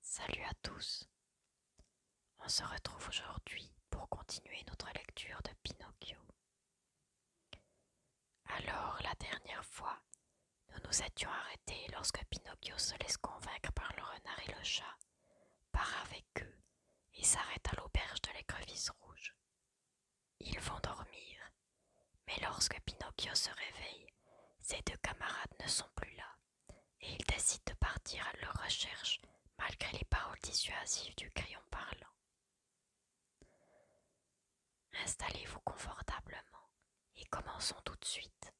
Salut à tous. On se retrouve aujourd'hui pour continuer notre lecture de Pinocchio. Alors, la dernière fois, nous nous étions arrêtés lorsque Pinocchio se laisse convaincre par le renard et le chat, part avec eux et s'arrête à l'auberge de l'écrevisse rouge. Ils vont dormir mais lorsque Pinocchio se réveille, ses deux camarades ne sont plus là, et il décide de partir à leur recherche malgré les paroles dissuasives du crayon parlant. Installez-vous confortablement et commençons tout de suite.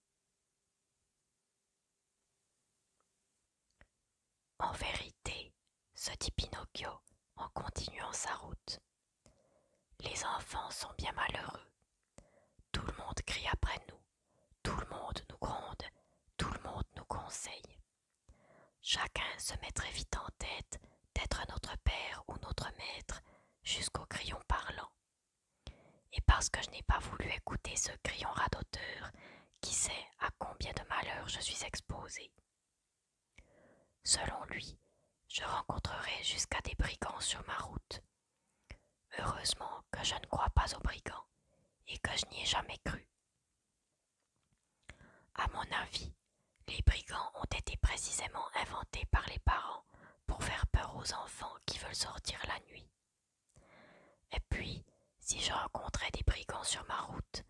En vérité, se dit Pinocchio en continuant sa route, les enfants sont bien malheureux. Tout le monde crie après nous, tout le monde nous gronde, tout le monde nous conseille. Chacun se mettrait vite en tête d'être notre père ou notre maître jusqu'au crayon parlant. Et parce que je n'ai pas voulu écouter ce crayon radoteur, qui sait à combien de malheurs je suis exposé. Selon lui, je rencontrerai jusqu'à des brigands sur ma route, Heureusement que je ne crois pas aux brigands et que je n'y ai jamais cru. À mon avis, les brigands ont été précisément inventés par les parents pour faire peur aux enfants qui veulent sortir la nuit. Et puis, si je rencontrais des brigands sur ma route,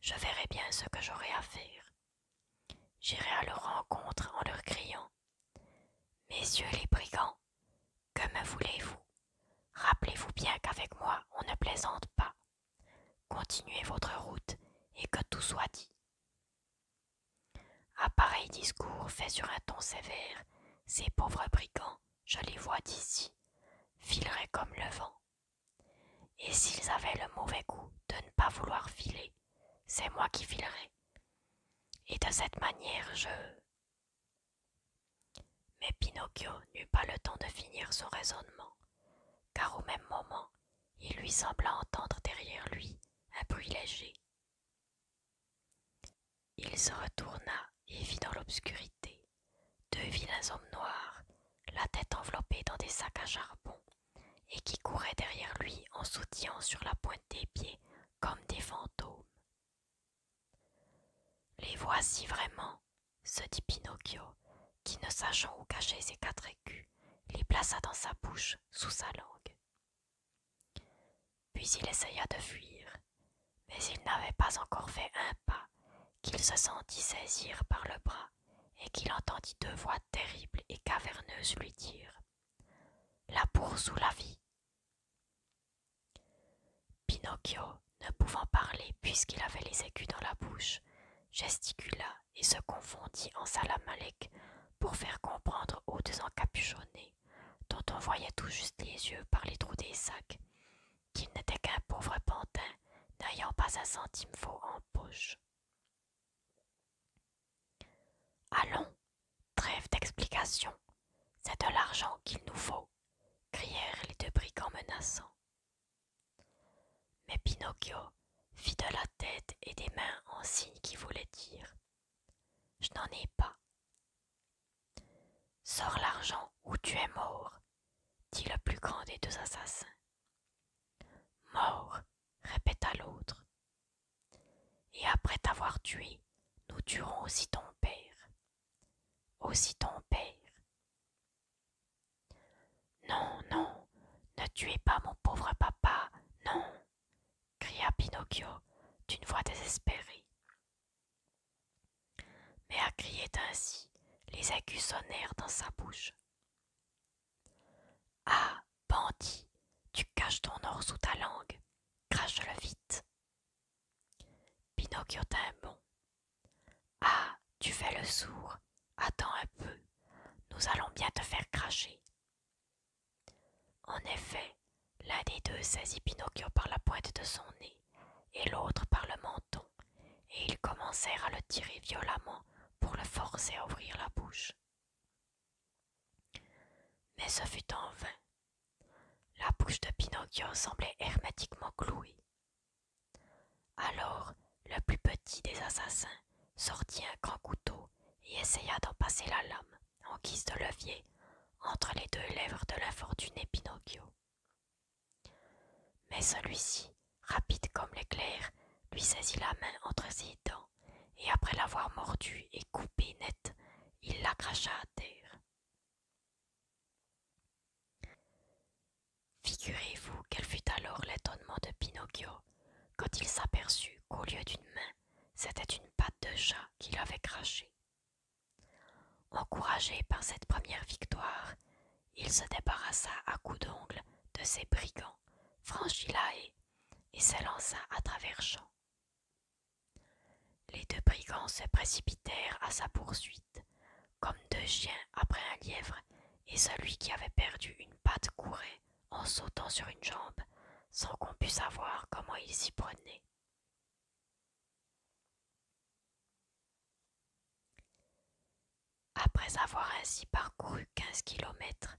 je verrais bien ce que j'aurais à faire. J'irai à leur rencontre en leur criant Messieurs les brigands, que me voulez-vous Rappelez-vous bien qu'avec moi on ne plaisante pas. Continuez votre route et que tout soit dit. À pareil discours fait sur un ton sévère, ces pauvres brigands, je les vois d'ici, fileraient comme le vent. Et s'ils avaient le mauvais goût de ne pas vouloir filer, c'est moi qui filerai. Et de cette manière, je. Mais Pinocchio n'eut pas le temps de finir son raisonnement, car au même moment, il lui sembla entendre derrière lui un bruit léger. Il se retourna et vit dans l'obscurité deux vilains hommes noirs, la tête enveloppée dans des sacs à charbon, et qui couraient derrière lui en sautillant sur la pointe des pieds comme des fantômes. Les voici vraiment, se dit Pinocchio, qui, ne sachant où cacher ses quatre écus, les plaça dans sa bouche, sous sa langue. Puis il essaya de fuir, mais il n'avait pas encore fait un pas qu'il se sentit saisir par le bras et qu'il entendit deux voix terribles et caverneuses lui dire la bourse ou la vie Pinocchio, ne pouvant parler puisqu'il avait les écus dans la bouche, gesticula et se confondit en salamalec pour faire comprendre aux deux encapuchonnés, dont on voyait tout juste les yeux par les trous des sacs, qu'il n'était qu'un pauvre pantin n'ayant pas un centime faux en poche. Allons, trêve d'explication, c'est de l'argent qu'il nous faut, crièrent les deux brigands menaçants. Mais Pinocchio fit de la tête et des mains en signe qui voulait dire Je n'en ai pas. Sors l'argent ou tu es mort, dit le plus grand des deux assassins. Mort, répéta l'autre, et après t'avoir tué, nous tuerons aussi ton père. Aussi ton père. Non, non, ne tuez pas mon pauvre papa, non, cria Pinocchio d'une voix désespérée. Mais à crier ainsi, les aigus sonnèrent dans sa bouche. Ah Bandit, tu caches ton or sous ta langue, crache-le vite. Pinocchio tint bon. Ah, tu fais le sourd, attends un peu, nous allons bien te faire cracher. En effet, l'un des deux saisit Pinocchio par la pointe de son nez et l'autre par le menton, et ils commencèrent à le tirer violemment pour le forcer à ouvrir la bouche. Mais ce fut en vain. La bouche de Pinocchio semblait hermétiquement clouée. Alors, le plus petit des assassins sortit un grand couteau et essaya d'en passer la lame, en guise de levier, entre les deux lèvres de l'infortuné Pinocchio. Mais celui-ci, rapide comme l'éclair, lui saisit la main entre ses dents et après l'avoir mordue et coupé net, il la cracha à terre. Figurez-vous quel fut alors l'étonnement de Pinocchio quand il s'aperçut qu'au lieu d'une main, c'était une patte de chat qu'il avait crachée. Encouragé par cette première victoire, il se débarrassa à coups d'ongles de ses brigands, franchit la haie et s'élança à travers champs. Les deux brigands se précipitèrent à sa poursuite, comme deux chiens après un lièvre, et celui qui avait perdu une patte courait en sautant sur une jambe, sans qu'on pût savoir comment il s'y prenait. Après avoir ainsi parcouru quinze kilomètres,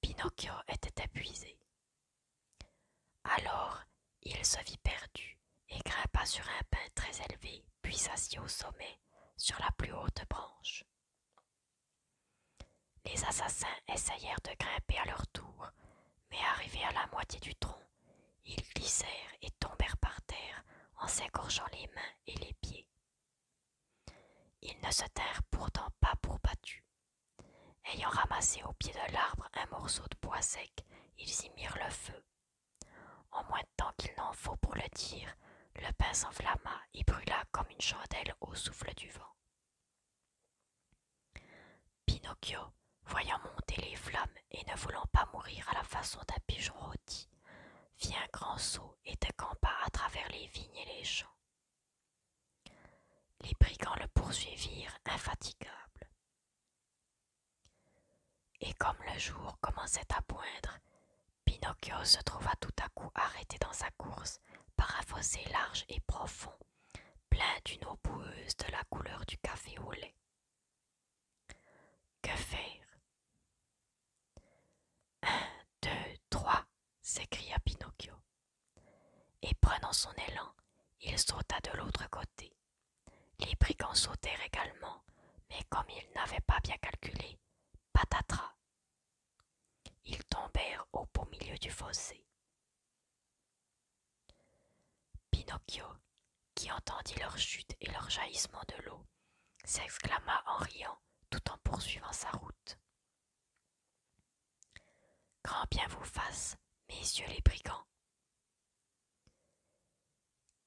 Pinocchio était épuisé. Alors il se vit perdu et grimpa sur un pin très élevé, puis s'assit au sommet, sur la plus haute branche. Les assassins essayèrent de grimper à leur tour, mais arrivés à la moitié du tronc, ils glissèrent et tombèrent par terre en s'égorgeant les mains et les pieds. Ils ne se tinrent pourtant pas pour battus, Ayant ramassé au pied de l'arbre un morceau de bois sec, ils y mirent le feu. En moins de temps qu'il n'en faut pour le dire, le pain s'enflamma et brûla comme une chandelle au souffle du vent. Pinocchio, voyant monter les flammes et ne voulant pas mourir à la façon d'un pigeon rôti, fit un grand saut et décampa à travers les vignes et les champs. Les brigands le poursuivirent infatigables. Et comme le jour commençait à poindre, Pinocchio se trouva tout à coup arrêté dans sa course par un fossé large et profond, plein d'une eau boueuse de la couleur du café au lait. Que faire Un, deux, trois s'écria Pinocchio. Et prenant son élan, il sauta de l'autre côté. Les brigands sautèrent également, mais comme ils n'avaient pas bien calculé, patatras. Ils tombèrent au beau milieu du fossé. Pinocchio, qui entendit leur chute et leur jaillissement de l'eau, s'exclama en riant tout en poursuivant sa route. Grand bien vous fasse, messieurs les brigands.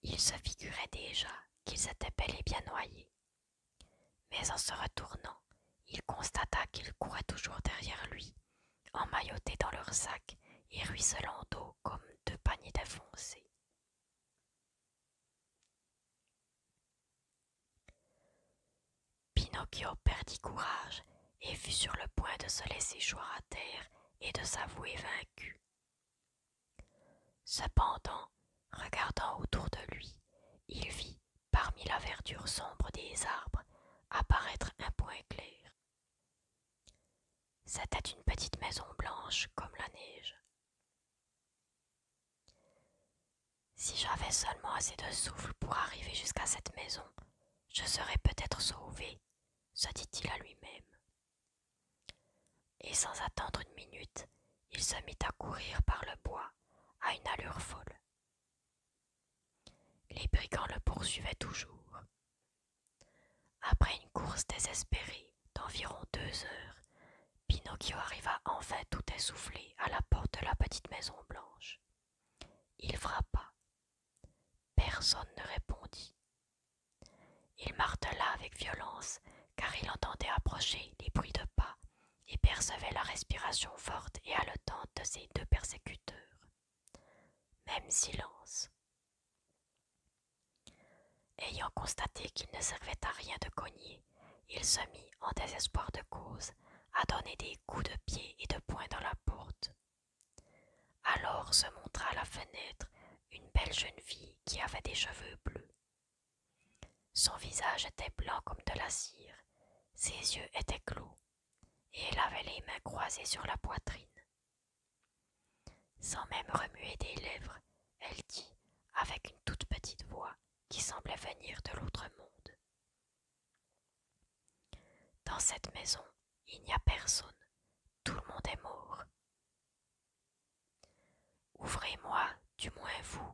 Il se figurait déjà qu'ils étaient bel et bien noyés, mais en se retournant, il constata qu'ils couraient toujours derrière lui, emmaillotés dans leurs sacs et ruisselant d'eau comme deux paniers défoncés. Pinocchio perdit courage et fut sur le point de se laisser choir à terre et de s'avouer vaincu. Cependant, regardant autour de lui, il vit, parmi la verdure sombre des arbres, apparaître un point clair. C'était une petite maison blanche comme la neige. Si j'avais seulement assez de souffle pour arriver jusqu'à cette maison, je serais peut-être sauvé, se dit-il à lui-même. Et sans attendre une minute, il se mit à courir par le bois à une allure folle. Les brigands le poursuivaient toujours. Après une course désespérée d'environ deux heures, Pinocchio arriva enfin tout essoufflé à la porte de la petite maison blanche. Il frappa. Personne ne répondit. Il martela avec violence, car il entendait approcher les bruits de pas et percevait la respiration forte et haletante de ses deux persécuteurs. Même silence. Ayant constaté qu'il ne servait à rien de cogner, il se mit en désespoir de cause à donner des coups de pied et de poing dans la porte. Alors se montra à la fenêtre une belle jeune fille qui avait des cheveux bleus. Son visage était blanc comme de la cire, ses yeux étaient clos, et elle avait les mains croisées sur la poitrine. Sans même remuer des lèvres, elle dit, avec une toute petite voix qui semblait venir de l'autre monde. Dans cette maison, il n'y a personne, tout le monde est mort. Ouvrez-moi, du moins vous,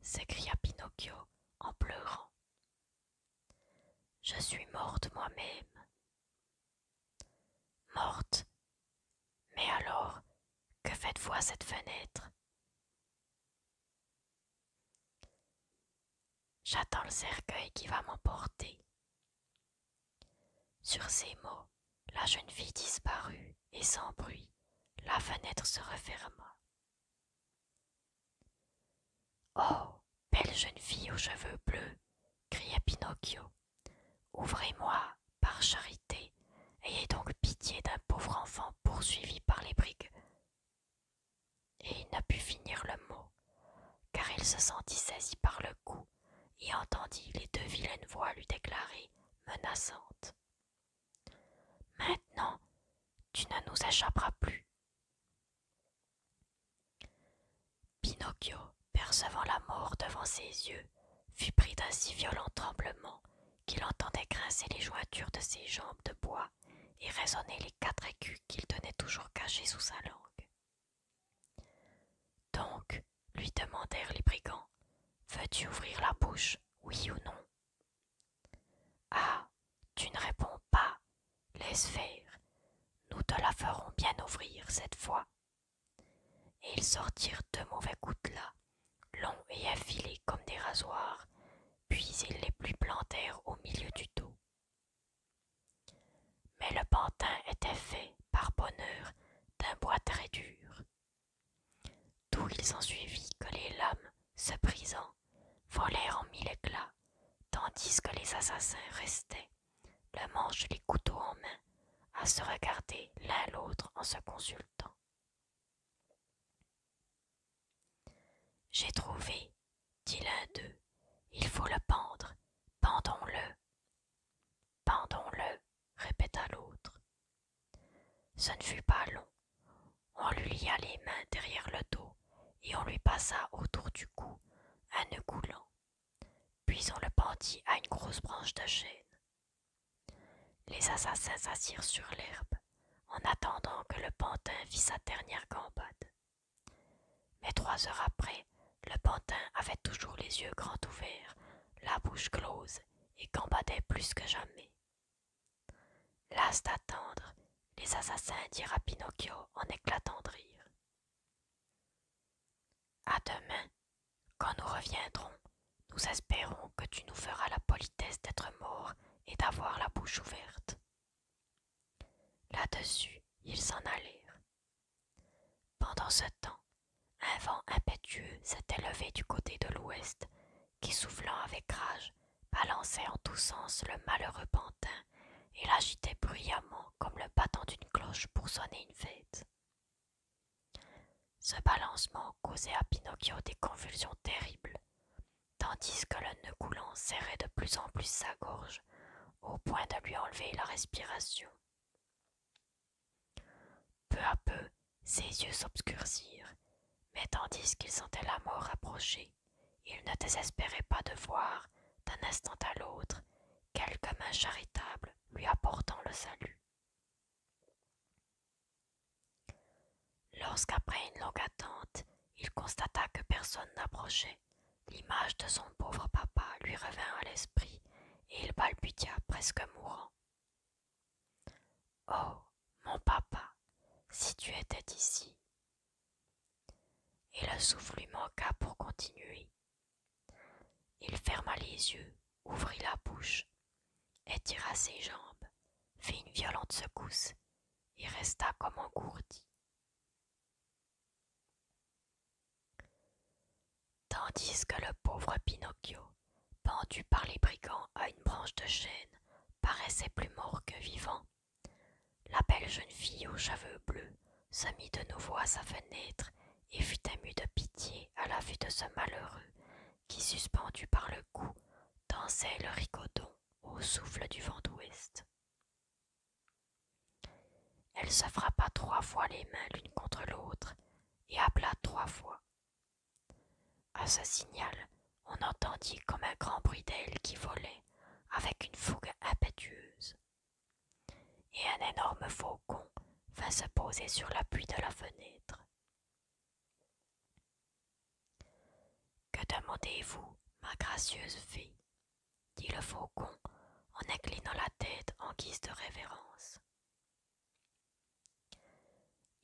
s'écria Pinocchio en pleurant. Je suis morte moi-même. Morte Mais alors, que faites-vous à cette fenêtre J'attends le cercueil qui va m'emporter. Sur ces mots, la jeune fille disparut et sans bruit, la fenêtre se referma. Oh, belle jeune fille aux cheveux bleus, cria Pinocchio, ouvrez-moi, par charité, ayez donc pitié d'un pauvre enfant poursuivi par les brigues. Et il ne put finir le mot, car il se sentit saisi par le cou et entendit les deux vilaines voix lui déclarer menaçantes. Maintenant, tu ne nous échapperas plus. Pinocchio, percevant la mort devant ses yeux, fut pris d'un si violent tremblement qu'il entendait grincer les jointures de ses jambes de bois et raisonner les quatre écus qu'il tenait toujours cachés sous sa langue. Donc, lui demandèrent les brigands, veux-tu ouvrir la bouche, oui ou non Ah, tu ne réponds pas, laisse faire, nous te la ferons bien ouvrir cette fois. Et ils sortirent deux mauvais coutelas, longs et affilés comme des rasoirs, puis ils les plus plantèrent au milieu du dos. Mais le pantin était fait, par bonheur, d'un bois très dur. D'où il suivit que les lames, se brisant, volèrent en mille éclats, tandis que les assassins restaient, le manche et les couteaux en main, à se regarder l'un l'autre en se consultant. J'ai trouvé, dit l'un d'eux, il faut le pendre, pendons-le. Pendons-le, répéta l'autre. Ce ne fut pas long. On lui lia les mains derrière le dos et on lui passa autour du cou un noeud coulant. Puis on le pendit à une grosse branche de chêne. Les assassins s'assirent sur l'herbe en attendant que le pantin fît sa dernière gambade. Mais trois heures après, le pantin avait toujours les yeux grands ouverts, la bouche close, et gambadait plus que jamais. Lasse d'attendre, les assassins dirent à Pinocchio en éclatant de rire. À demain, quand nous reviendrons, nous espérons que tu nous feras la politesse d'être mort et d'avoir la bouche ouverte. Là-dessus, ils s'en allèrent. Pendant ce temps, un vent impétueux s'était levé du côté de l'ouest, qui, soufflant avec rage, balançait en tous sens le malheureux pantin et l'agitait bruyamment comme le battant d'une cloche pour sonner une fête. Ce balancement causait à Pinocchio des convulsions terribles, tandis que le nœud coulant serrait de plus en plus sa gorge, au point de lui enlever la respiration. Peu à peu, ses yeux s'obscurcirent, mais tandis qu'il sentait la mort approcher, il ne désespérait pas de voir, d'un instant à l'autre, quelque main charitable lui apportant le salut. Lorsqu'après une longue attente, il constata que personne n'approchait, l'image de son pauvre papa lui revint à l'esprit et il balbutia presque mourant. Oh, mon papa, si tu étais ici. Et le souffle lui manqua pour continuer. Il ferma les yeux, ouvrit la bouche, étira ses jambes, fit une violente secousse et resta comme engourdi. Tandis que le pauvre Pinocchio, pendu par les brigands à une branche de chêne, paraissait plus mort que vivant, la belle jeune fille aux cheveux bleus se mit de nouveau à sa fenêtre et fut émue de pitié à la vue de ce malheureux qui, suspendu par le cou, dansait le ricoton au souffle du vent d'ouest. Elle se frappa trois fois les mains l'une contre l'autre et appela trois fois. À ce signal, on entendit comme un grand bruit d'ailes qui volait avec une fougue impétueuse. Et un énorme faucon vint se poser sur l'appui de la fenêtre. Que demandez-vous, ma gracieuse fée dit le faucon en inclinant la tête en guise de révérence.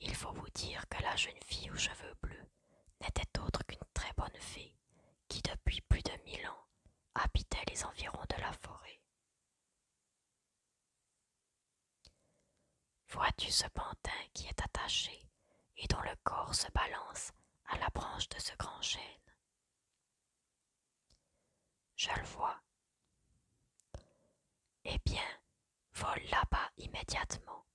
Il faut vous dire que la jeune fille aux cheveux bleus n'était autre qu'une très bonne fée qui depuis plus de mille ans habitait les environs de la forêt. Vois-tu ce pantin qui est attaché et dont le corps se balance à la branche de ce grand chêne. Je le vois. Eh bien, vole là-bas immédiatement,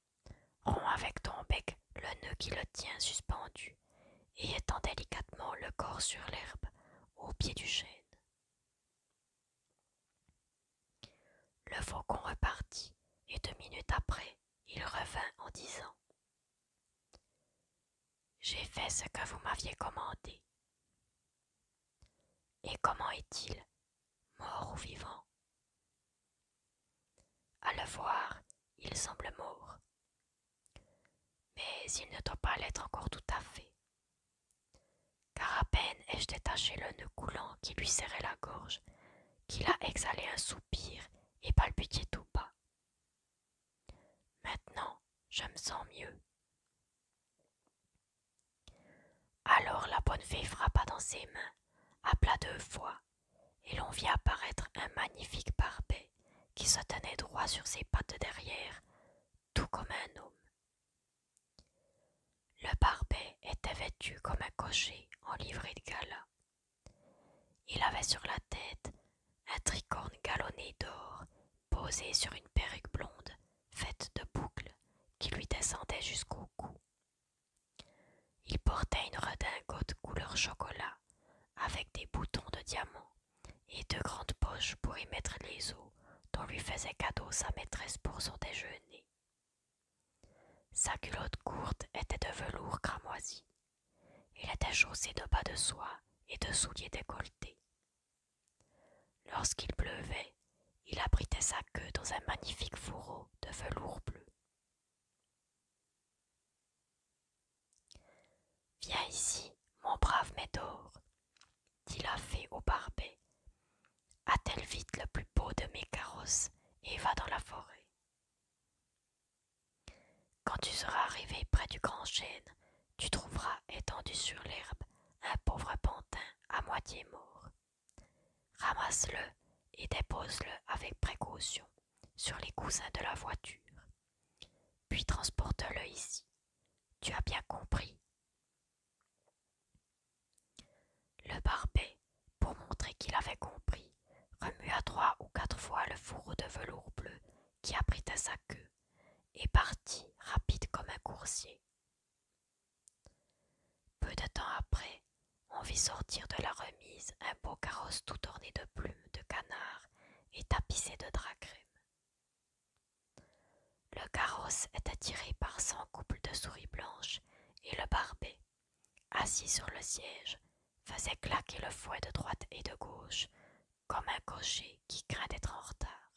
romps avec ton bec le nœud qui le tient suspendu, et étends délicatement le corps sur l'herbe au pied du chêne. Le faucon repartit, et deux minutes après, il revint en disant J'ai fait ce que vous m'aviez commandé. Et comment est-il, mort ou vivant À le voir, il semble mort. Mais il ne doit pas l'être encore tout à fait. Car à peine ai-je détaché le nœud coulant qui lui serrait la gorge qu'il a exhalé un soupir et palpité tout bas. Maintenant, je me sens mieux. Alors la bonne fée frappa dans ses mains, appela deux fois, et l'on vit apparaître un magnifique barbet qui se tenait droit sur ses pattes derrière, tout comme un homme. Le barbet était vêtu comme un cocher en livrée de gala, il avait sur la tête un tricorne galonné d'or, posé sur une perruque blonde faite de boucles qui lui descendait jusqu'au cou. Il portait une redingote couleur chocolat avec des boutons de diamants et deux grandes poches pour y mettre les os dont lui faisait cadeau sa maîtresse pour son déjeuner. Sa culotte courte était de velours cramoisi. Il était chaussé de bas de soie et de souliers décolletés. Lorsqu'il pleuvait, il abritait sa queue dans un magnifique fourreau de velours bleu. Viens ici, mon brave Médor, dit la fée au barbet. Attelle vite le plus beau de mes carrosses et va dans la forêt. Quand tu seras arrivé près du grand chêne, tu trouveras étendu sur l'herbe un pauvre pantin à moitié mort. Ramasse-le et dépose-le avec précaution sur les coussins de la voiture. Puis transporte-le ici. Tu as bien compris. Le barbet pour montrer qu'il avait compris, remua trois ou quatre fois le fourreau de velours bleu qui abritait sa queue, et partit rapide comme un coursier. Peu de temps après, on vit sortir de la remise un beau carrosse tout orné de plumes de canard et tapissé de crème. Le carrosse était tiré par cent couples de souris blanches et le barbet, assis sur le siège, faisait claquer le fouet de droite et de gauche, comme un cocher qui craint d'être en retard.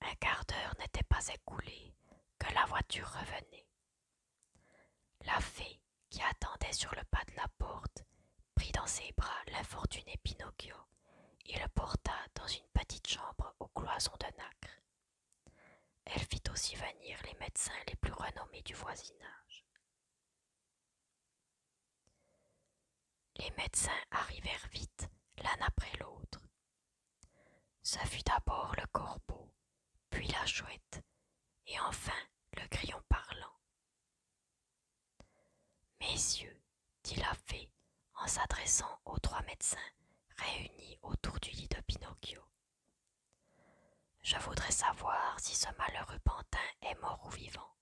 Un quart d'heure n'était pas écoulé que la voiture revenait. La fée, qui attendait sur le pas de la porte, prit dans ses bras l'infortuné Pinocchio et le porta dans une petite chambre aux cloisons de nacre. Elle fit aussi venir les médecins les plus renommés du voisinage. Les médecins arrivèrent vite, l'un après l'autre. Ce fut d'abord le corbeau, puis la chouette, et enfin le grillon parlant. Messieurs, dit la fée en s'adressant aux trois médecins réunis autour du lit de Pinocchio. Je voudrais savoir si ce malheureux pantin est mort ou vivant.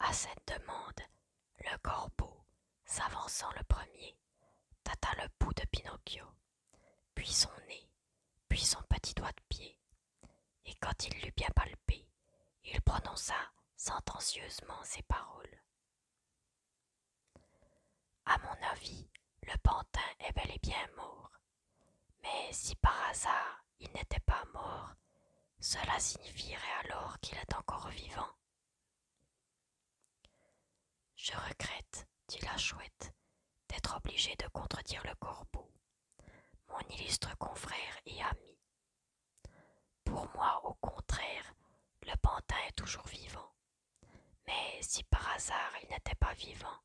À cette demande, le corbeau, s'avançant le premier, tâta le bout de Pinocchio, puis son nez, puis son petit doigt de pied, et quand il l'eut bien palpé, il prononça sentencieusement ces paroles. À mon avis, le pantin est bel et bien mort. Mais si par hasard il n'était pas mort, cela signifierait alors qu'il est encore vivant. Je regrette, dit la chouette, d'être obligée de contredire le corbeau, mon illustre confrère et ami, pour moi, au contraire, le pantin est toujours vivant. Mais si par hasard il n'était pas vivant,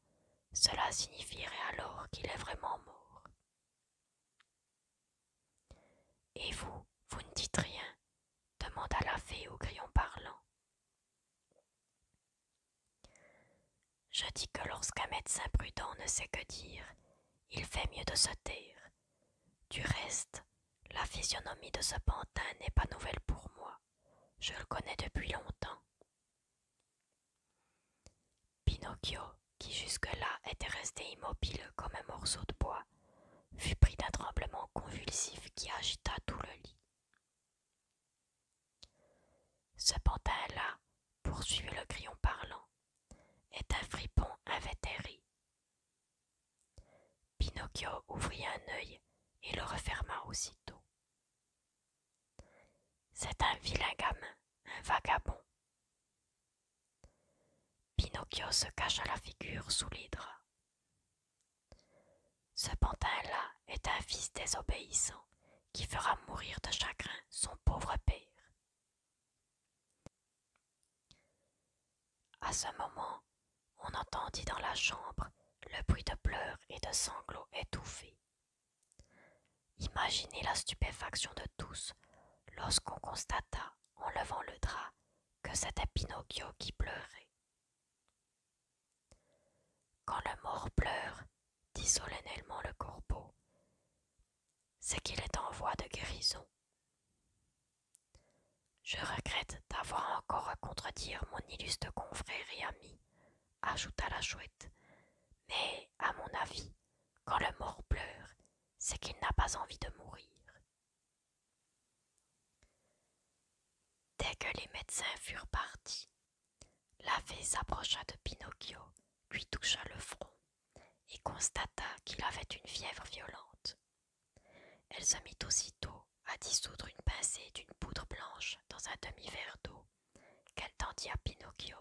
cela signifierait alors qu'il est vraiment mort. Et vous, vous ne dites rien demanda la fée au grillon parlant. Je dis que lorsqu'un médecin prudent ne sait que dire, il fait mieux de se taire. Du reste, la physionomie de ce pantin n'est pas nouvelle pour moi. Je le connais depuis longtemps. Pinocchio, qui jusque-là était resté immobile comme un morceau de bois, fut pris d'un tremblement convulsif qui agita tout le lit. Ce pantin-là, poursuivit le grillon parlant, est un fripon invétéré. Pinocchio ouvrit un œil et le referma aussitôt. C'est un vilain gamin, un vagabond. Pinocchio se cacha la figure sous les draps. Ce pantin-là est un fils désobéissant qui fera mourir de chagrin son pauvre père. À ce moment, on entendit dans la chambre le bruit de pleurs et de sanglots étouffés. Imaginez la stupéfaction de tous lorsqu'on constata, en levant le drap, que c'était Pinocchio qui pleurait. Quand le mort pleure, dit solennellement le corbeau, c'est qu'il est en voie de guérison. Je regrette d'avoir encore à contredire mon illustre confrère et ami, ajouta la chouette, mais à mon avis, quand le mort pleure, c'est qu'il n'a pas envie de mourir. Dès que les médecins furent partis, la fée s'approcha de Pinocchio, lui toucha le front et constata qu'il avait une fièvre violente, elle se mit aussitôt à dissoudre une pincée d'une poudre blanche dans un demi-verre d'eau qu'elle tendit à Pinocchio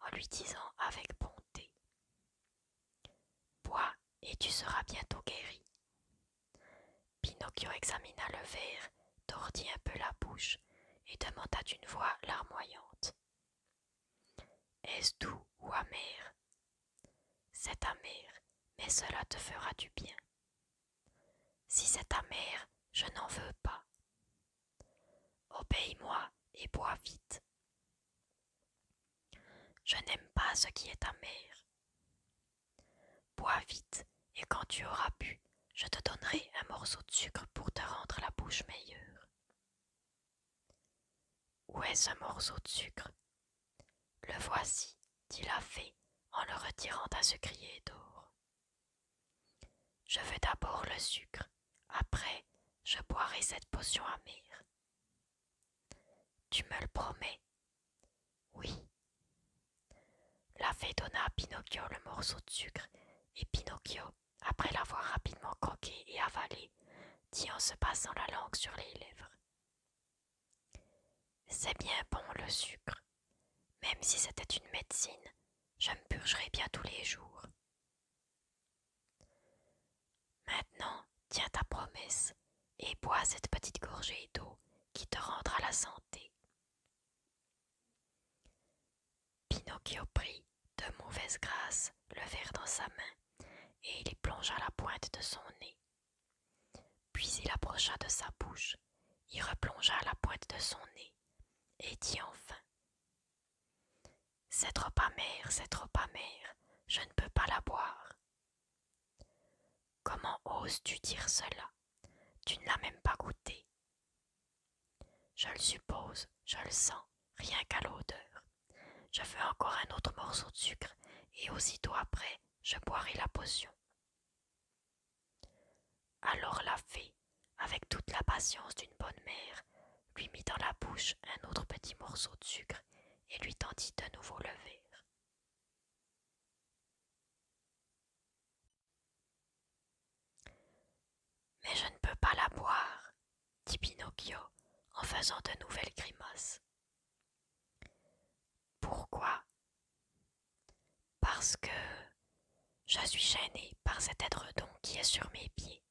en lui disant avec bonté Bois et tu seras bientôt guéri. Pinocchio examina le verre, tordit un peu la bouche et demanda d'une voix larmoyante Est-ce doux ou amer c'est amer, mais cela te fera du bien. Si c'est amer, je n'en veux pas. Obéis-moi et bois vite. Je n'aime pas ce qui est amer. Bois vite, et quand tu auras bu, je te donnerai un morceau de sucre pour te rendre la bouche meilleure. Où est ce morceau de sucre le voici, dit la fée en le retirant à ce crier d'or. Je veux d'abord le sucre, après je boirai cette potion amère. Tu me le promets Oui. La fée donna à Pinocchio le morceau de sucre, et Pinocchio, après l'avoir rapidement croqué et avalé, dit en se passant la langue sur les lèvres. C'est bien bon le sucre. Même si c'était une médecine, je me purgerais bien tous les jours. Maintenant, tiens ta promesse et bois cette petite gorgée d'eau qui te rendra la santé. Pinocchio prit de mauvaise grâce le verre dans sa main et il y plongea la pointe de son nez. Puis il approcha de sa bouche, y replongea la pointe de son nez, et dit enfin Cette trop amer, c'est trop mère, je ne peux pas la boire. Comment oses-tu dire cela Tu ne l'as même pas goûtée. Je le suppose, je le sens, rien qu'à l'odeur. Je veux encore un autre morceau de sucre, et aussitôt après, je boirai la potion. Alors la fée, avec toute la patience d'une bonne mère, lui mit dans la bouche un autre petit morceau de sucre et lui tendit de nouveau le verre. Mais je ne peux pas la boire, dit Pinocchio en faisant de nouvelles grimaces. Pourquoi Parce que je suis gênée par cet être-don qui est sur mes pieds.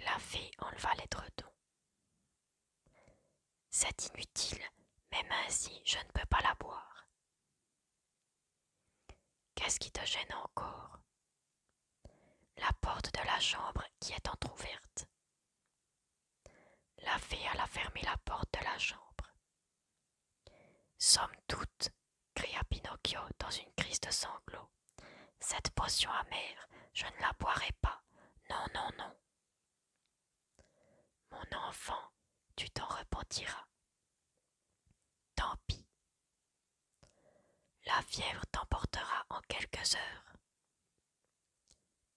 La fée enleva « C'est inutile, même ainsi je ne peux pas la boire. Qu'est-ce qui te gêne encore La porte de la chambre qui est entr'ouverte. La fée alla fermer la porte de la chambre. Somme toute, cria Pinocchio dans une crise de sanglots, cette potion amère, je ne la boirai pas. Non, non, non. Mon enfant, tu t'en repentiras. Tant pis. La fièvre t'emportera en quelques heures.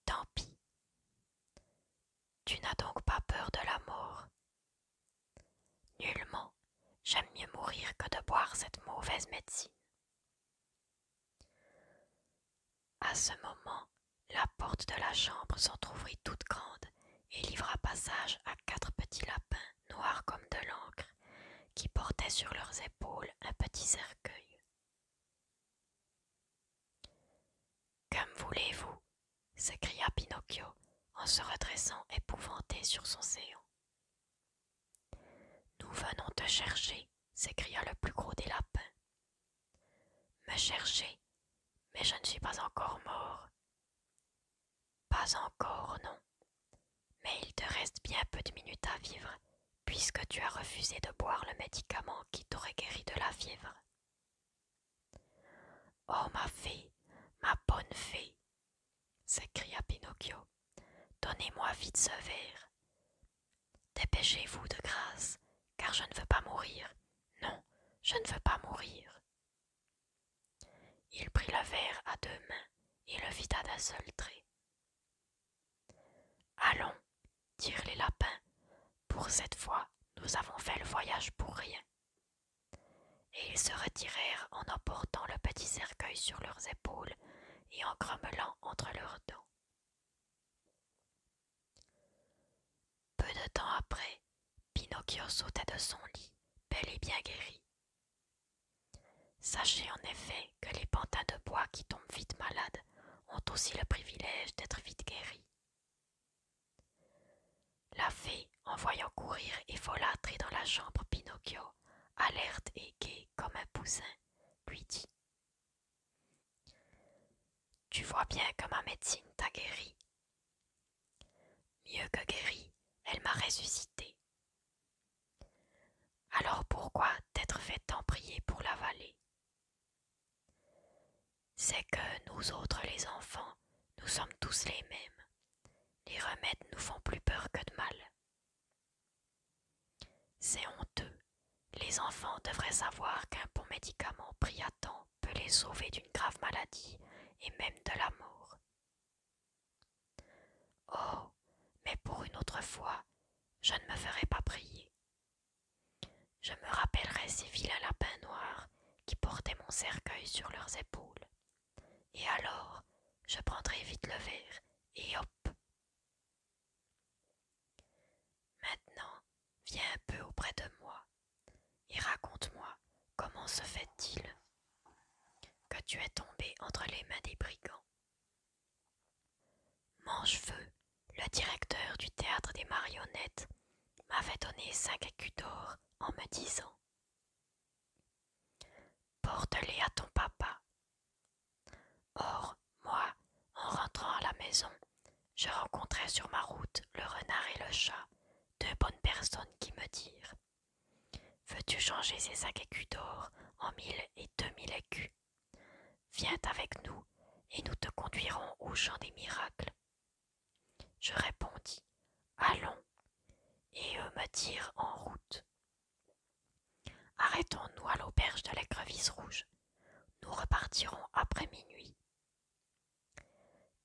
Tant pis. Tu n'as donc pas peur de la mort. Nullement, j'aime mieux mourir que de boire cette mauvaise médecine. À ce moment, la porte de la chambre s'entr'ouvrit toute grande et livra passage à quatre petits lapins noirs comme de l'encre, qui portaient sur leurs épaules un petit cercueil. Comme voulez-vous s'écria Pinocchio en se redressant épouvanté sur son séant. Nous venons te chercher, s'écria le plus gros des lapins. Me chercher, mais je ne suis pas encore mort. Pas encore, non. Mais il te reste bien peu de minutes à vivre, puisque tu as refusé de boire le médicament qui t'aurait guéri de la fièvre. Oh ma fée, ma bonne fée, s'écria Pinocchio, donnez-moi vite ce verre. Dépêchez-vous de grâce, car je ne veux pas mourir. Non, je ne veux pas mourir. Il prit le verre à deux mains et le vida d'un seul trait. Allons, dirent les lapins, pour cette fois nous avons fait le voyage pour rien. Et ils se retirèrent en emportant le petit cercueil sur leurs épaules et en grommelant entre leurs dents. Peu de temps après, Pinocchio sautait de son lit, bel et bien guéri. Sachez en effet que les pantins de bois qui tombent vite malades ont aussi le privilège d'être vite guéris. La fée, en voyant courir et folâtrer dans la chambre Pinocchio, alerte et gaie comme un poussin, lui dit Tu vois bien que ma médecine t'a guéri. Mieux que guéri, elle m'a ressuscité, alors pourquoi t'être fait tant prier pour la C'est que nous autres les enfants, nous sommes tous les mêmes. Les remèdes nous font plus peur que de mal. C'est honteux. Les enfants devraient savoir qu'un bon médicament pris à temps peut les sauver d'une grave maladie et même de la mort. Oh, mais pour une autre fois, je ne me ferai pas prier. Je me rappellerai ces vilains lapins noirs qui portaient mon cercueil sur leurs épaules. Et alors, je prendrai vite le verre, et hop. Maintenant, viens un peu auprès de moi, et raconte-moi comment se fait-il que tu es tombé entre les mains des brigands. Manchefeu, le directeur du théâtre des marionnettes, m'avait donné cinq écus d'or en me disant Porte-les à ton papa. Or, moi, en rentrant à la maison, je rencontrai sur ma route le renard et le chat, deux bonnes personnes qui me dirent Veux-tu changer ces cinq écus d'or en mille et deux mille écus Viens avec nous, et nous te conduirons au champ des miracles. Je répondis. Allons. Et eux me dirent en route. Arrêtons-nous à l'auberge de l'écrevisse rouge. Nous repartirons après minuit.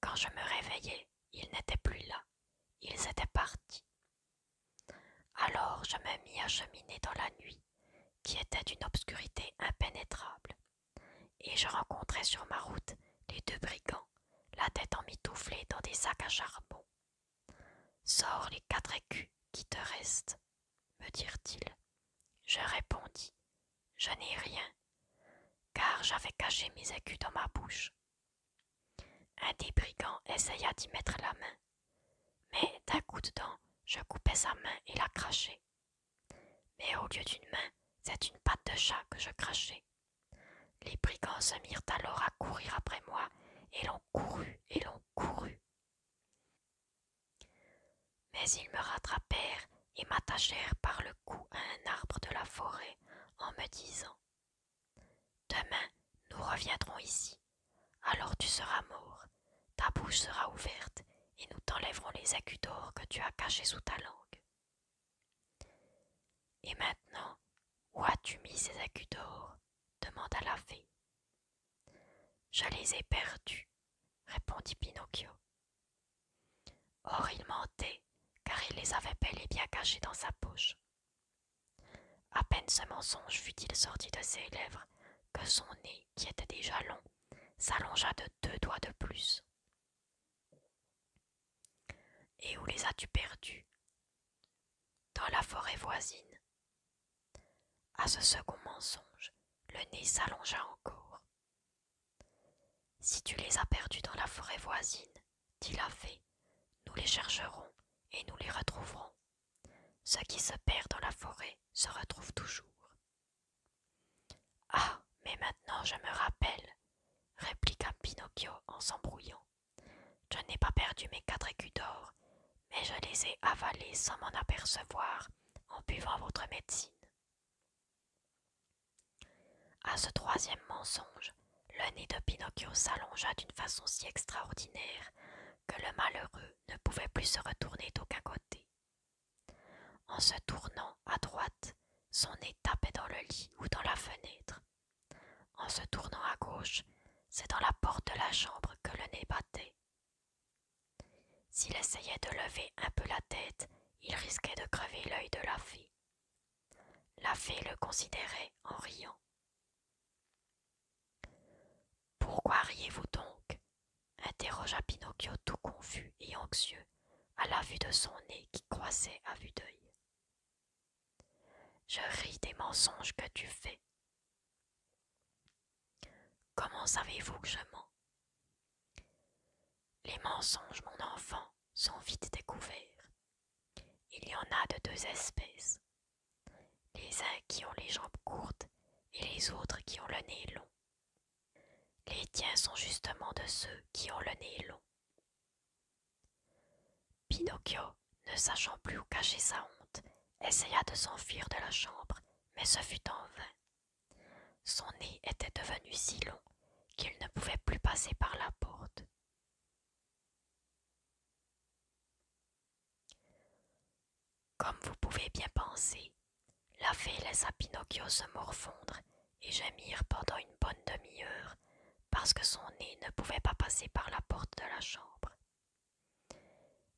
Quand je me réveillai, ils n'étaient plus là. Ils étaient partis. Alors je me mis à cheminer dans la nuit, qui était d'une obscurité impénétrable, et je rencontrai sur ma route les deux brigands, la tête emmitouflée dans des sacs à charbon. Sors les quatre écus qui te restent, me dirent-ils. Je répondis Je n'ai rien, car j'avais caché mes écus dans ma bouche. Un des brigands essaya d'y mettre la main, mais d'un coup de dent, je coupai sa main et la crachai. Mais au lieu d'une main, c'est une patte de chat que je crachai. Les brigands se mirent alors à courir après moi, et l'on courut, et l'ont courut. Mais ils me rattrapèrent et m'attachèrent par le cou à un arbre de la forêt en me disant Demain, nous reviendrons ici alors tu seras mort, ta bouche sera ouverte, et nous t'enlèverons les écus d'or que tu as cachés sous ta langue. Et maintenant, où as-tu mis ces écus d'or demanda la fée. Je les ai perdus, répondit Pinocchio. Or il mentait, car il les avait bel et bien cachés dans sa poche. À peine ce mensonge fut-il sorti de ses lèvres que son nez, qui était déjà long, s'allongea de deux doigts de plus. Et où les as-tu perdus Dans la forêt voisine. À ce second mensonge, le nez s'allongea encore. Si tu les as perdus dans la forêt voisine, dit la fée, nous les chercherons et nous les retrouverons. Ce qui se perd dans la forêt se retrouve toujours. Ah, mais maintenant je me rappelle, répliqua Pinocchio en s'embrouillant. Je n'ai pas perdu mes quatre écus d'or, mais je les ai avalés sans m'en apercevoir en buvant votre médecine. À ce troisième mensonge, le nez de Pinocchio s'allongea d'une façon si extraordinaire que le malheureux ne pouvait plus se retourner d'aucun côté. En se tournant à droite, son nez tapait dans le lit ou dans la fenêtre. En se tournant à gauche, c'est dans la porte de la chambre que le nez battait. S'il essayait de lever un peu la tête, il risquait de crever l'œil de la fée. La fée le considérait en riant. Pourquoi riez-vous donc interrogea Pinocchio tout confus et anxieux à la vue de son nez qui croissait à vue d'œil. Je ris des mensonges que tu fais. Comment savez-vous que je mens Les mensonges, mon enfant, sont vite découverts. Il y en a de deux espèces, les uns qui ont les jambes courtes et les autres qui ont le nez long. Les tiens sont justement de ceux qui ont le nez long. Pinocchio, ne sachant plus où cacher sa honte, essaya de s'enfuir de la chambre, mais ce fut en vain. Son nez était devenu si long qu'il ne pouvait plus passer par la porte. Comme vous pouvez bien penser, la fée laissa Pinocchio se morfondre et gémir pendant une bonne demi-heure parce que son nez ne pouvait pas passer par la porte de la chambre.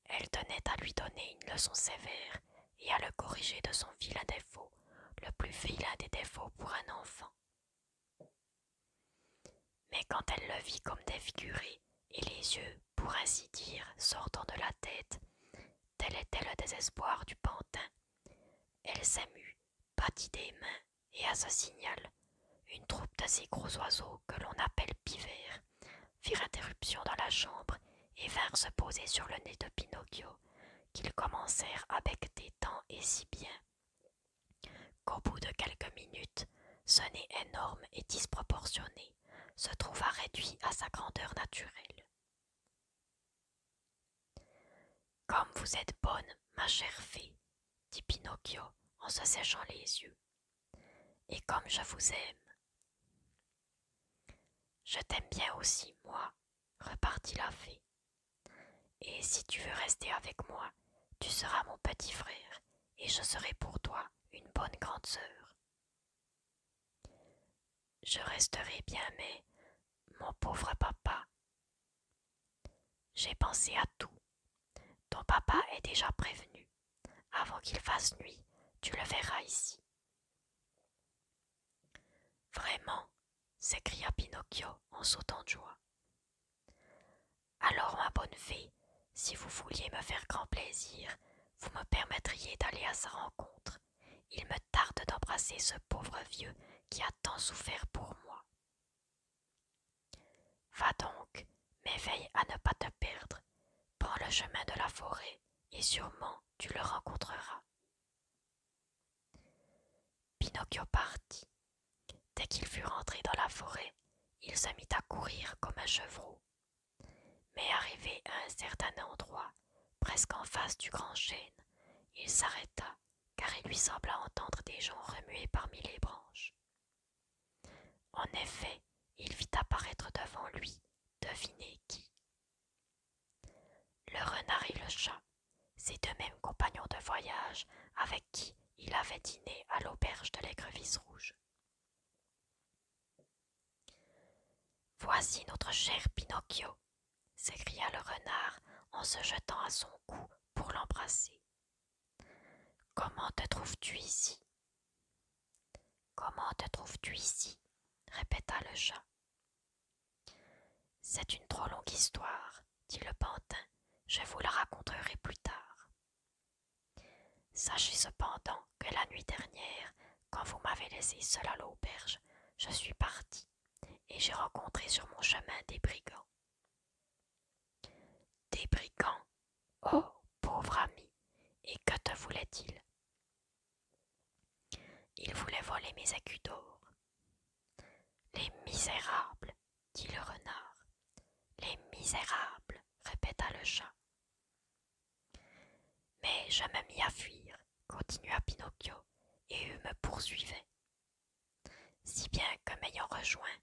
Elle tenait à lui donner une leçon sévère et à le corriger de son vilain défaut, le plus vilain des défauts pour un enfant. Mais quand elle le vit comme défiguré et les yeux pour ainsi dire, sortant de la tête. Tel était le désespoir du pantin. Elle s'émut, battit des mains, et à ce signal, une troupe de ces gros oiseaux que l'on appelle pivers firent interruption dans la chambre et vinrent se poser sur le nez de Pinocchio, qu'ils commencèrent à des tant et si bien qu'au bout de quelques minutes, ce nez énorme et disproportionné se trouva réduit à sa grandeur naturelle. Comme vous êtes bonne, ma chère fée, dit Pinocchio en se séchant les yeux, et comme je vous aime. Je t'aime bien aussi, moi, repartit la fée. Et si tu veux rester avec moi, tu seras mon petit frère, et je serai pour toi une bonne grande sœur. Je resterai bien, mais mon pauvre papa. J'ai pensé à tout. Ton papa est déjà prévenu. Avant qu'il fasse nuit, tu le verras ici. Vraiment s'écria Pinocchio en sautant de joie. Alors, ma bonne fée, si vous vouliez me faire grand plaisir, vous me permettriez d'aller à sa rencontre. Il me tarde d'embrasser ce pauvre vieux qui a tant souffert pour moi. Va donc, mais veille à ne pas te perdre. Prends le chemin de la forêt, et sûrement tu le rencontreras. Pinocchio partit. Dès qu'il fut rentré dans la forêt, il se mit à courir comme un chevreau, mais arrivé à un certain endroit, presque en face du grand chêne, il s'arrêta, car il lui sembla entendre des gens remuer parmi les branches. En effet, il vit apparaître devant lui, deviner qui. Le renard et le chat, ses deux mêmes compagnons de voyage avec qui il avait dîné à l'auberge de l'écrevisse rouge. Voici notre cher Pinocchio, s'écria le renard en se jetant à son cou pour l'embrasser. Comment te trouves-tu ici Comment te trouves-tu ici répéta le chat. C'est une trop longue histoire, dit le pantin, je vous la raconterai plus tard. Sachez cependant que la nuit dernière, quand vous m'avez laissé seul à l'auberge, je suis parti et j'ai rencontré sur mon chemin des brigands. Des brigands Oh, pauvre ami Et que te voulaient-ils Ils voulaient voler mes écus d'or. Les misérables dit le renard. Les misérables répéta le chat. Mais je me mis à fuir, continua Pinocchio, et eux me poursuivaient. Si bien que m'ayant rejoint,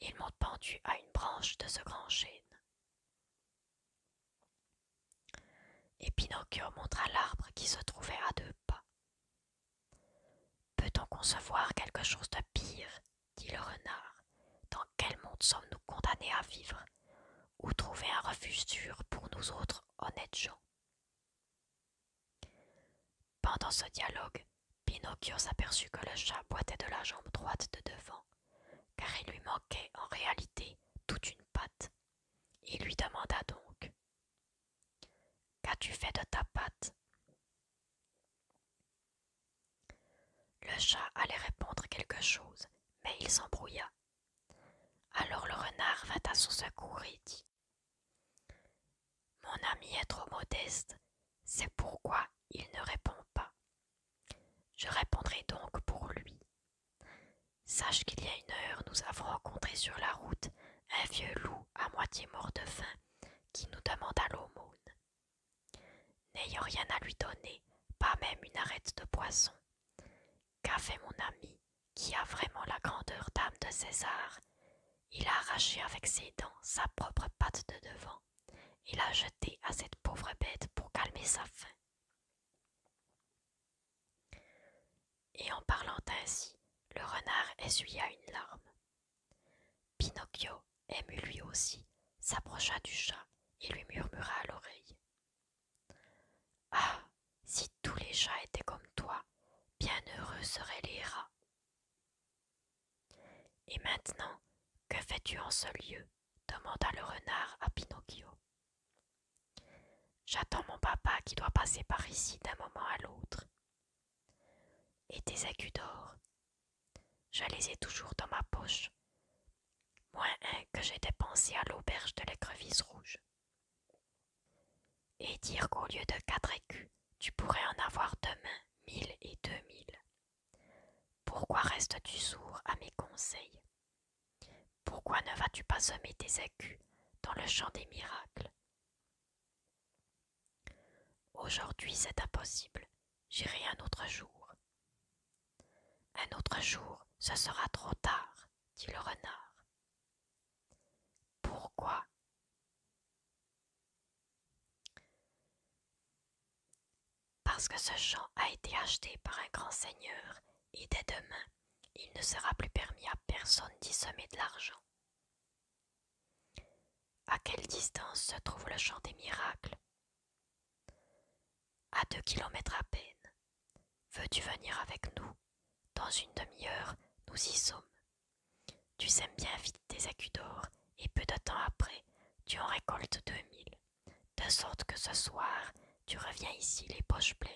ils m'ont pendu à une branche de ce grand chêne. Et Pinocchio montra l'arbre qui se trouvait à deux pas. Peut-on concevoir quelque chose de pire dit le renard, dans quel monde sommes-nous condamnés à vivre Ou trouver un refuge sûr pour nous autres honnêtes gens Pendant ce dialogue, Pinocchio s'aperçut que le chat boitait de la jambe droite de devant, car il lui manquait en réalité toute une patte. Il lui demanda donc Qu'as-tu fait de ta patte le chat allait répondre quelque chose, mais il s'embrouilla. Alors le renard vint à son secours et dit Mon ami est trop modeste, c'est pourquoi il ne répond pas. Je répondrai donc pour lui. Sache qu'il y a une heure, nous avons rencontré sur la route un vieux loup à moitié mort de faim qui nous demanda l'aumône. N'ayant rien à lui donner, pas même une arête de poisson, qu'a fait mon ami, qui a vraiment la grandeur d'âme de César Il a arraché avec ses dents sa propre patte de devant et l'a jetée à cette pauvre bête pour calmer sa faim. Et en parlant ainsi, le renard essuya une larme. Pinocchio, ému lui aussi, s'approcha du chat et lui murmura à l'oreille. Ah. Si tous les chats étaient comme toi, bien heureux seraient les rats. Et maintenant, que fais-tu en ce lieu demanda le renard à Pinocchio. J'attends mon papa qui doit passer par ici d'un moment à l'autre. Et tes d'or je les ai toujours dans ma poche, moins un que j'ai dépensé à l'auberge de l'écrevisse rouge. Et dire qu'au lieu de quatre écus, tu pourrais en avoir demain mille et deux mille. Pourquoi restes-tu sourd à mes conseils Pourquoi ne vas-tu pas semer tes écus dans le champ des miracles Aujourd'hui c'est impossible, j'irai un autre jour. Un autre jour, ce sera trop tard, dit le renard. Pourquoi Parce que ce champ a été acheté par un grand seigneur et dès demain, il ne sera plus permis à personne d'y semer de l'argent. À quelle distance se trouve le champ des miracles à deux kilomètres à peine. Veux-tu venir avec nous Dans une demi-heure, nous y sommes. Tu sèmes bien vite tes écus d'or, et peu de temps après, tu en récoltes deux mille, de sorte que ce soir, tu reviens ici les poches pleines.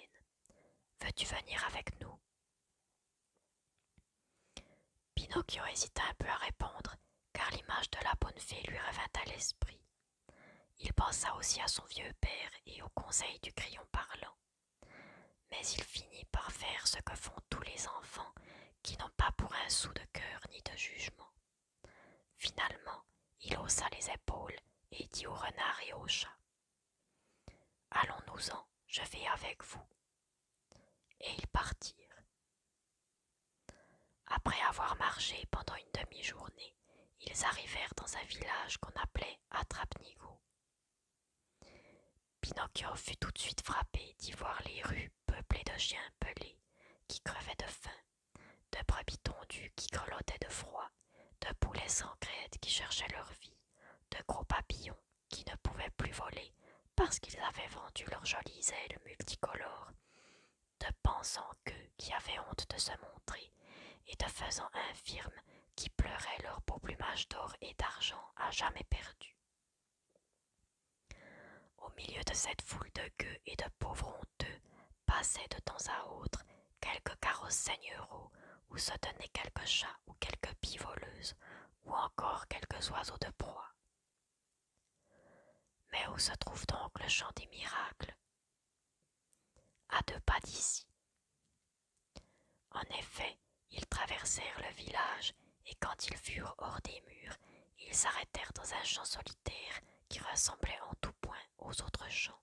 Veux-tu venir avec nous Pinocchio hésita un peu à répondre, car l'image de la bonne fée lui revint à l'esprit. Il pensa aussi à son vieux père et au conseil du crayon parlant. Mais il finit par faire ce que font tous les enfants qui n'ont pas pour un sou de cœur ni de jugement. Finalement, il haussa les épaules et dit au renard et au chat Allons-nous-en, je vais avec vous. Et ils partirent. Après avoir marché pendant une demi-journée, ils arrivèrent dans un village qu'on appelait Atrapnigo. Pinocchio fut tout de suite frappé d'y voir les rues peuplées de chiens pelés qui crevaient de faim, de brebis tondus qui grelottaient de froid, de poulets sans crête qui cherchaient leur vie, de gros papillons qui ne pouvaient plus voler parce qu'ils avaient vendu leurs jolies ailes multicolores, de pensant qu'eux qui avaient honte de se montrer, et de faisant infirmes qui pleuraient leur beau plumage d'or et d'argent à jamais perdu. Au milieu de cette foule de gueux et de pauvres honteux, passaient de temps à autre quelques carrosses seigneuraux, où se tenaient quelques chats ou quelques pies ou encore quelques oiseaux de proie. Mais où se trouve donc le champ des miracles À deux pas d'ici. En effet, ils traversèrent le village, et quand ils furent hors des murs, ils s'arrêtèrent dans un champ solitaire qui ressemblait en tout point aux autres champs.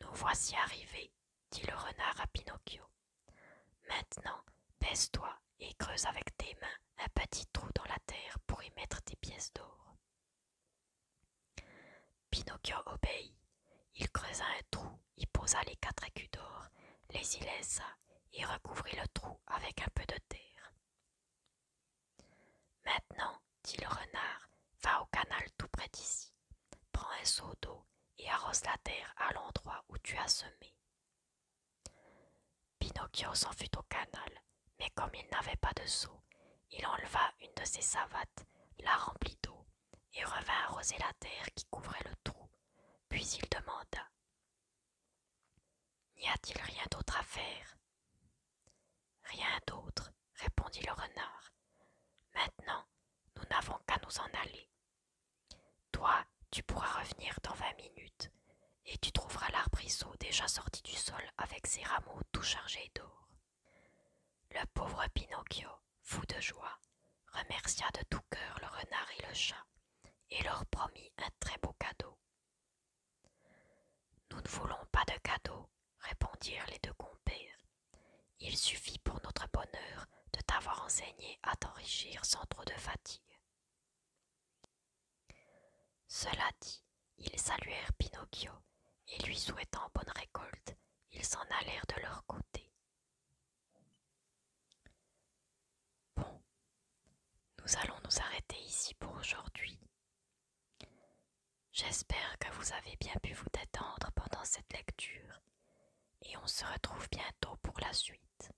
Nous voici arrivés, dit le renard à Pinocchio. Maintenant, baisse-toi et creuse avec tes mains un petit trou dans la terre pour y mettre tes pièces d'or. Pinocchio obéit. Il creusa un trou, y posa les quatre écus d'or, les y laissa et recouvrit le trou avec un peu de terre. Maintenant, dit le renard, va au canal tout près d'ici, prends un seau d'eau et arrose la terre à l'endroit où tu as semé. Pinocchio s'en fut au canal, mais comme il n'avait pas de seau, il enleva une de ses savates, la remplit d'eau, et revint arroser la terre qui couvrait le trou. Puis il demanda N'y a-t-il rien d'autre à faire Rien d'autre, répondit le renard. Maintenant, nous n'avons qu'à nous en aller. Toi, tu pourras revenir dans vingt minutes, et tu trouveras l'arbrisseau déjà sorti du sol avec ses rameaux tout chargés d'or. Le pauvre Pinocchio, fou de joie, remercia de tout cœur le renard et le chat, et leur promit un très beau cadeau. Nous ne voulons pas de cadeau, répondirent les deux compères. Il suffit pour notre bonheur de t'avoir enseigné à t'enrichir sans trop de fatigue. Cela dit, ils saluèrent Pinocchio, et lui souhaitant bonne récolte, ils s'en allèrent de leur côté. Bon, nous allons nous arrêter ici pour aujourd'hui. J'espère que vous avez bien pu vous détendre pendant cette lecture, et on se retrouve bientôt pour la suite.